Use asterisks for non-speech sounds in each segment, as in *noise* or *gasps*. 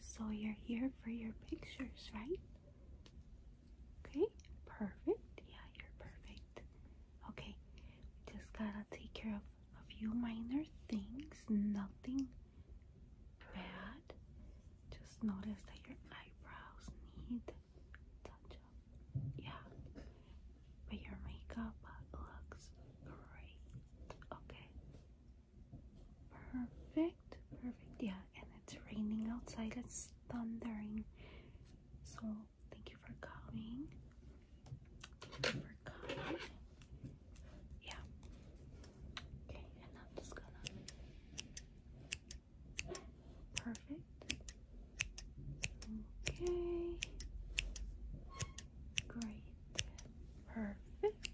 so you're here for your pictures, right? Okay, perfect. Yeah, you're perfect. Okay, we just gotta take care of a few minor things, nothing bad. Just notice that your eyebrows need touch up. Yeah. But your makeup looks great. Okay. Perfect. Perfect. Yeah. And it's raining outside. It's thundering. So thank you for coming. for coming. Yeah. Okay. And I'm just gonna Perfect. Okay. Great. Perfect.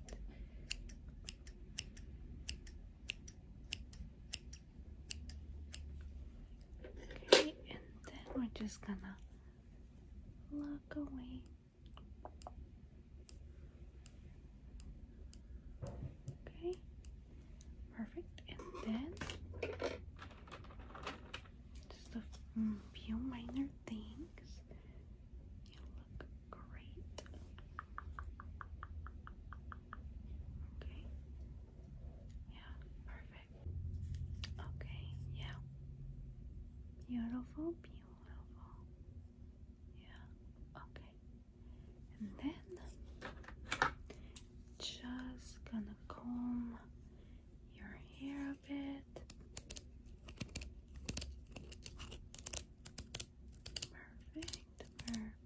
Okay, and then we're just gonna look away. Okay, perfect. And then just a few minor things. You look great. Okay. Yeah, perfect. Okay, yeah. Beautiful, beautiful. Yeah, okay and then just gonna comb your hair a bit. Perfect, perfect.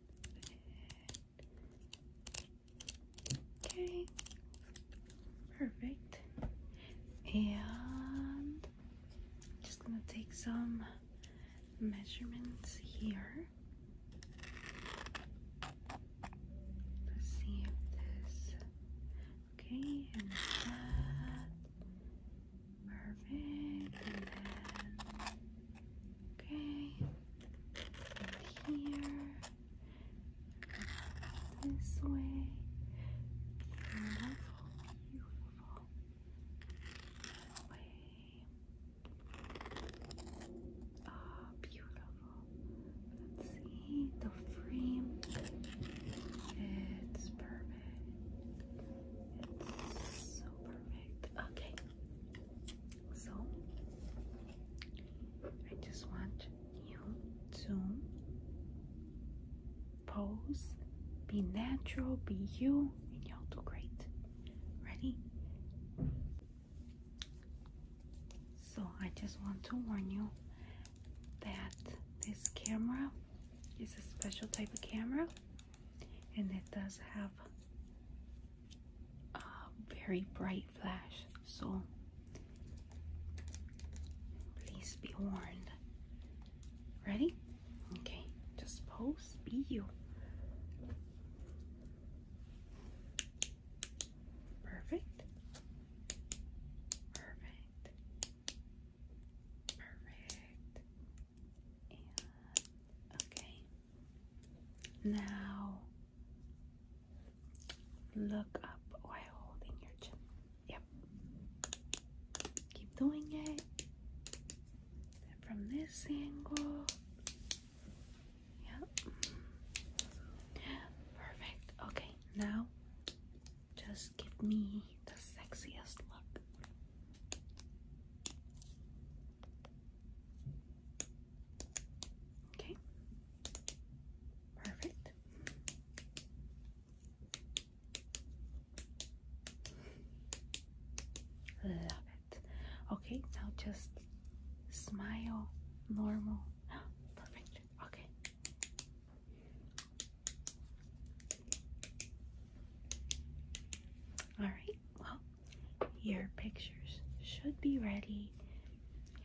Okay, perfect. And just gonna take some measurements here. let see if this okay and that perfect and then okay here this way beautiful beautiful Oh, beautiful. Let's see the frame. It's perfect. It's so perfect. Okay. So I just want you zoom pose be natural be you and you'll do great ready so i just want to warn you that this camera is a special type of camera and it does have a very bright flash so Please be warned. Ready? Okay, just pose, be you. Perfect. Perfect. Perfect. okay. Now Look up while holding your chin. Yep. Keep doing it. from this angle. Yep. Perfect. Okay, now just give me the sexiest look. Okay, Perfect. Love it. Okay, now just smile normal. *gasps* Perfect. Okay. All right. Well, your pictures should be ready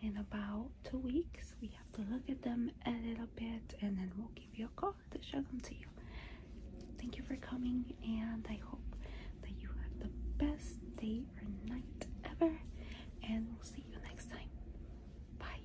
in about two weeks. We have to look at them a little bit and then we'll give you a call to show them to you. Thank you for coming and I hope that you have the best day or night ever and we'll see you next time. Bye.